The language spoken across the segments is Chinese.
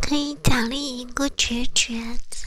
可以奖励一个绝绝子。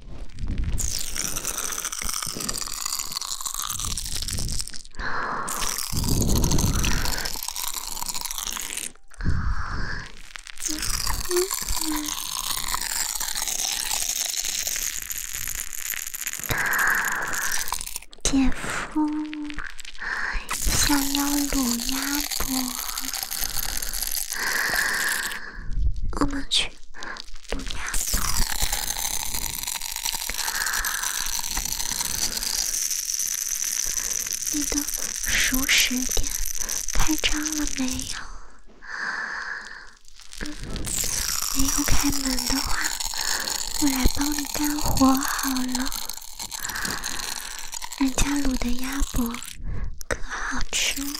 姐夫，姐夫想要卤鸭脖，我们去。不，鸭脖，你的熟食店开张了没有？嗯，没有开门的话，我来帮你干活好了。人家卤的鸭脖可好吃了。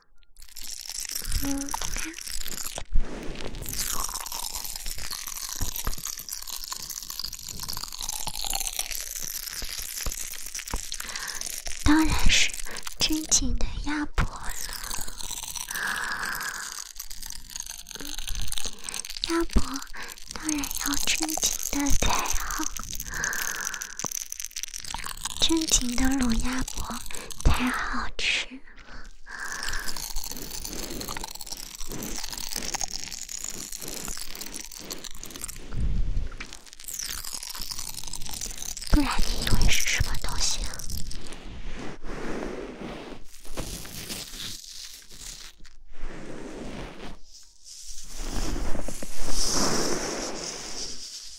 嗯，看，当然是真情的鸭脖了。鸭脖当然要真情的才好。正经的卤鸭脖太好吃，了，不然你以为是什么东西？啊？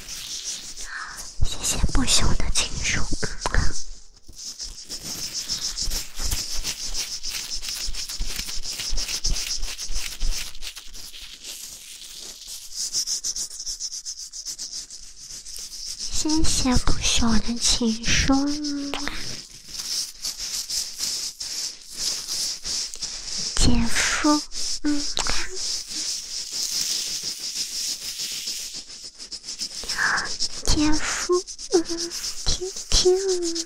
谢谢不朽的情书，谢谢不朽的情书，姐夫，嗯。姐夫，嗯，听听。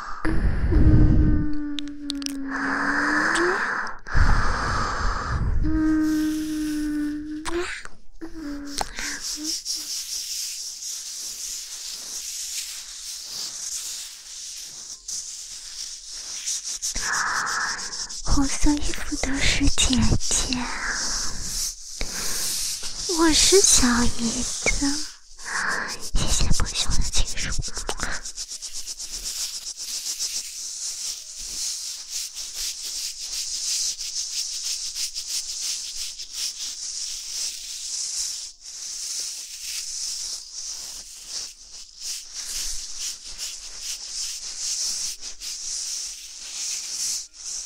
红嗯，衣嗯，的嗯，姐姐，我是小姨嗯，谢谢不朽的情书。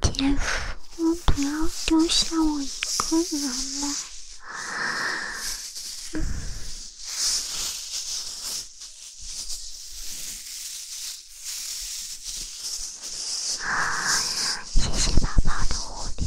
结束，不要丢下我一个人吗？谢谢宝宝的护垫。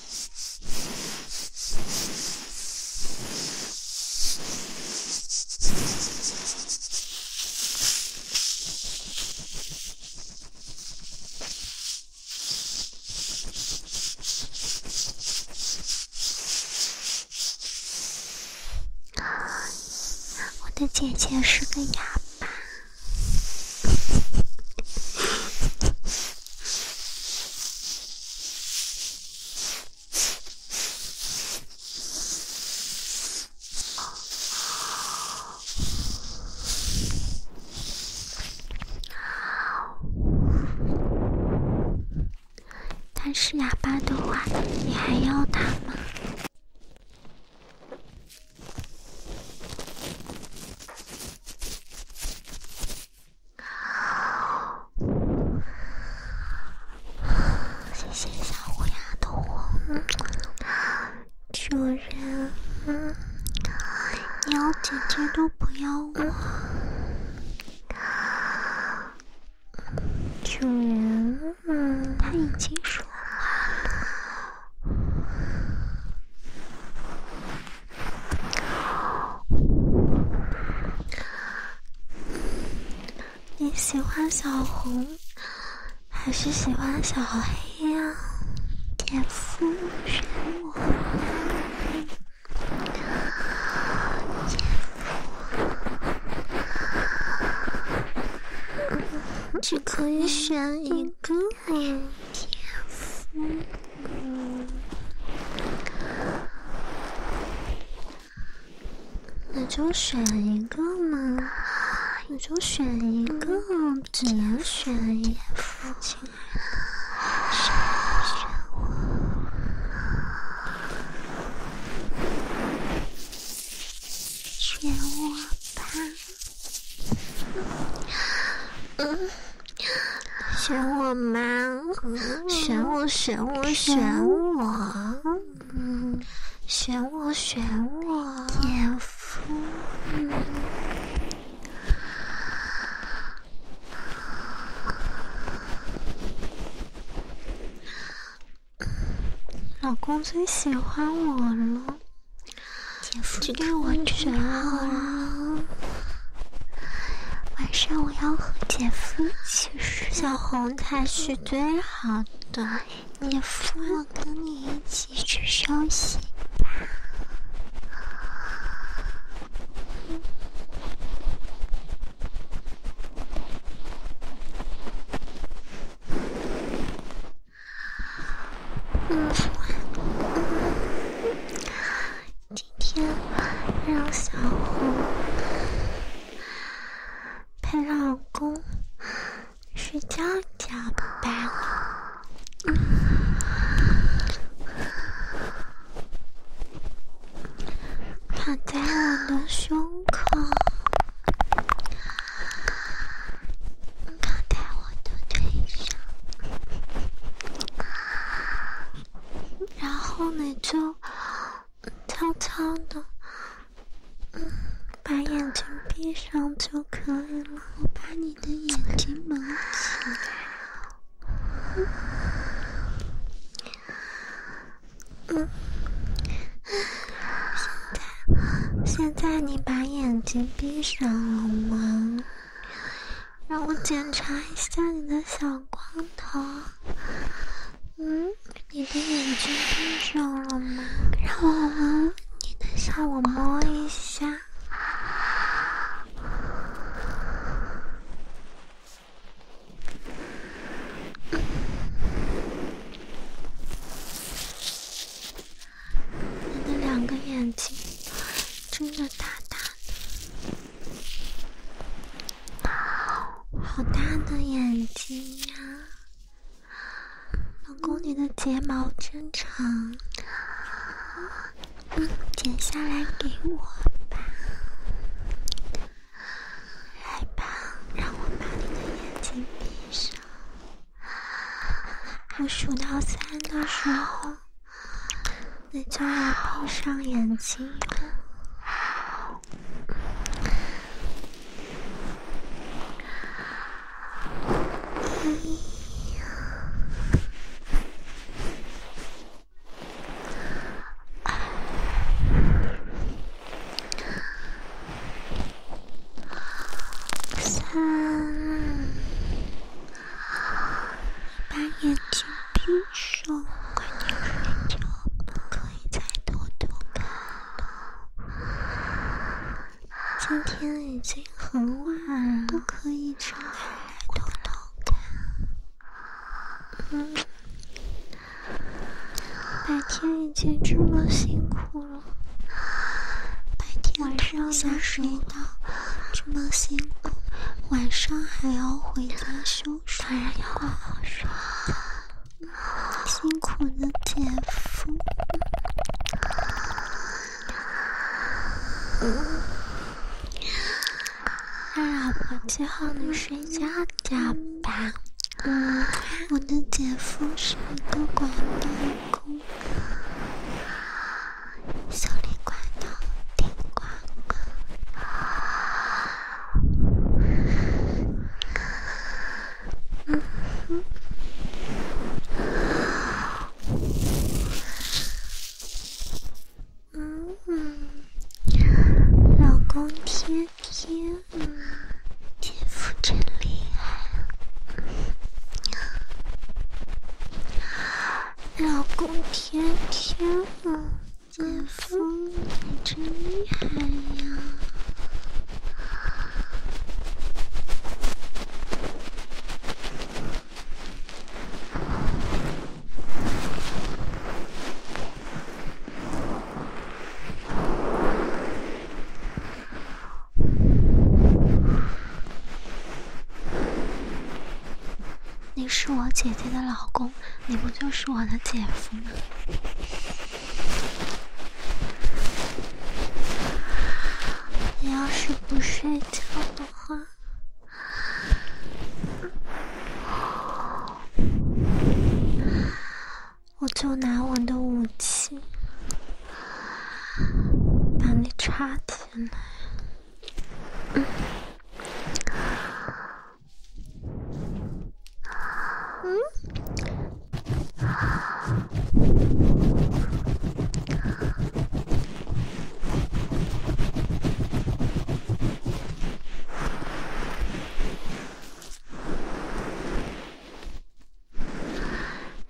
我的姐姐是个哑巴。但是哑巴的话，你还要他吗？谢谢小虎牙的红，主人，鸟姐姐都不要我，主人，他已经说了。你喜欢小红还是喜欢小黑呀？姐夫选我，夫只可以选一个，姐夫。嗯，那就选一个嘛，就选一个，只能选一个，选我，选我吧，嗯。选我吗？选我，选我，选我，选我，选我，姐夫，老公最喜欢我了，姐夫。给我选好晚上我要和姐夫一起睡。小红才是最好的姐夫，我跟你一起去休息今天让小红陪老公睡觉觉吧，躺在我的胸口，躺在我的腿上。然后你就悄悄的，嗯，把眼睛闭上就可以了。我把你的眼睛蒙起来。嗯，现在现在你把眼睛闭上了吗？让我检查一下你的小光头，嗯，你的眼睛闭上了吗？让我你的，让我摸一下。你的两个眼睛睁得大大的，好大的眼睛呀！老公，你的睫毛真长，剪下来给我吧。来吧，让我把你的眼睛闭上。我数到三的时候。你就闭上眼睛吧。一、二、三。把眼睛闭上，快点睡觉，不可以再偷偷看了。今天已经很晚了，不可以开来偷偷看。嗯，白天已经这么辛苦了，白天晚上谁？这么辛苦，晚上还要回家收拾，当然要好好睡。辛苦的姐夫，老婆，最好你睡觉觉吧。我的姐夫是一个广告工。手里管到顶呱呱，嗯嗯嗯嗯，老公天天啊，天赋真厉害啊！老公天天呢，姐夫你真厉害呀！你是我姐姐的老公，你不就是我的姐夫吗？你要是不睡觉的话，我就拿我的武器。把你插进来。嗯。嗯？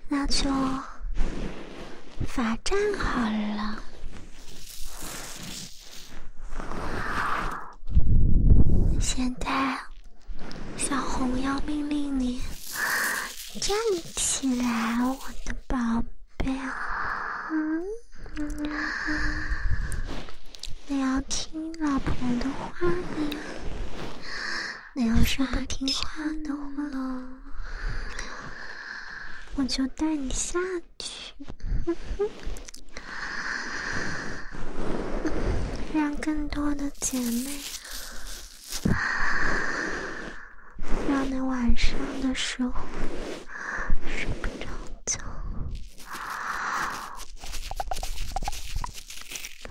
那就罚站好了。现在，小红要命令你站起来，我的宝贝，啊你要听老婆的话。你要是不听话的话，我就带你下去，让更多的姐妹，让你晚上的时候睡不着觉。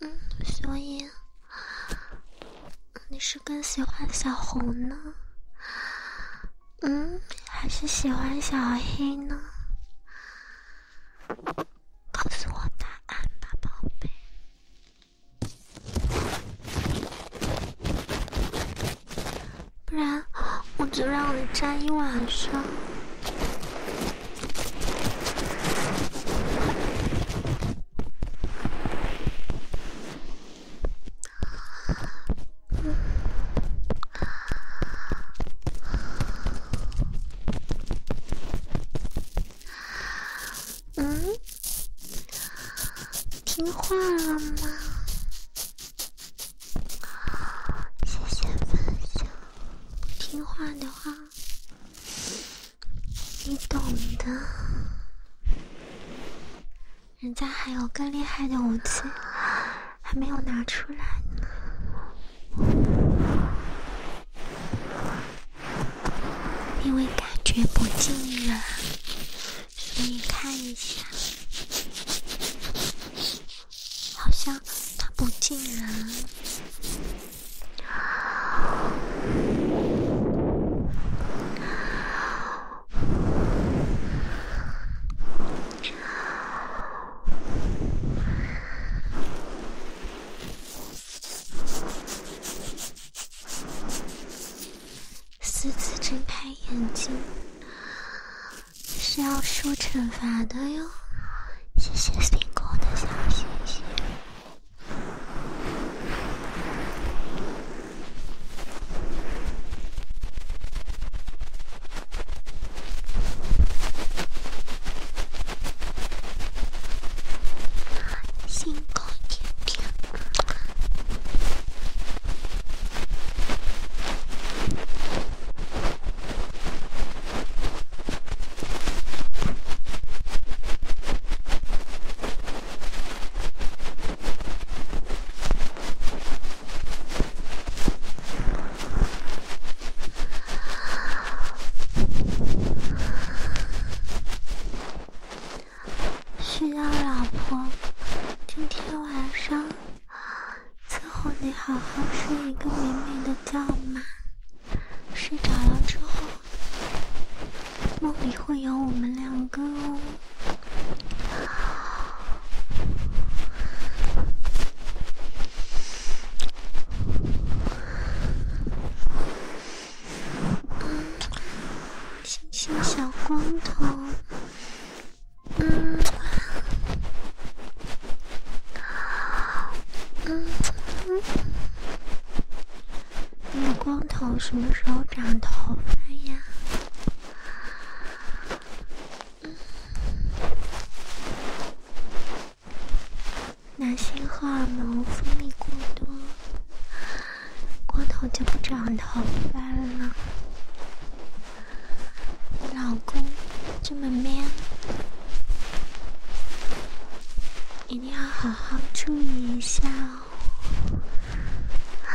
嗯，所以你是更喜欢小红呢，嗯，还是喜欢小黑呢？告诉我答案吧，宝贝，不然我就让你站一晚上。嗯，听话了吗？谢谢分享。听话的话，你懂的。人家还有更厉害的武器，还没有拿出来呢。因为感觉不近了，所以看一下，好像它不近了。私自睁开眼睛是要受惩罚的哟！谢谢冰果的小星星。心高气傲。需要老婆今天晚上伺候你好好睡一个美美的觉嘛。睡着了之后，梦里会有我们两个哦。嗯，星星小光头，嗯，嗯嗯，光头什么时候长头发呀？嗯。男性荷尔蒙分泌过多，光头就不长头发了。老公这么 man，一定要好好注意一下哦。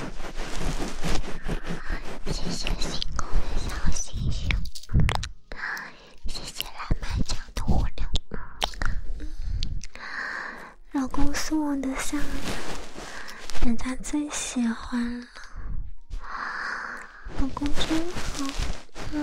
谢谢星空的小星星，谢谢蓝莓酱的蝴蝶，老公送我的项链，人家最喜欢了，老公真好，嗯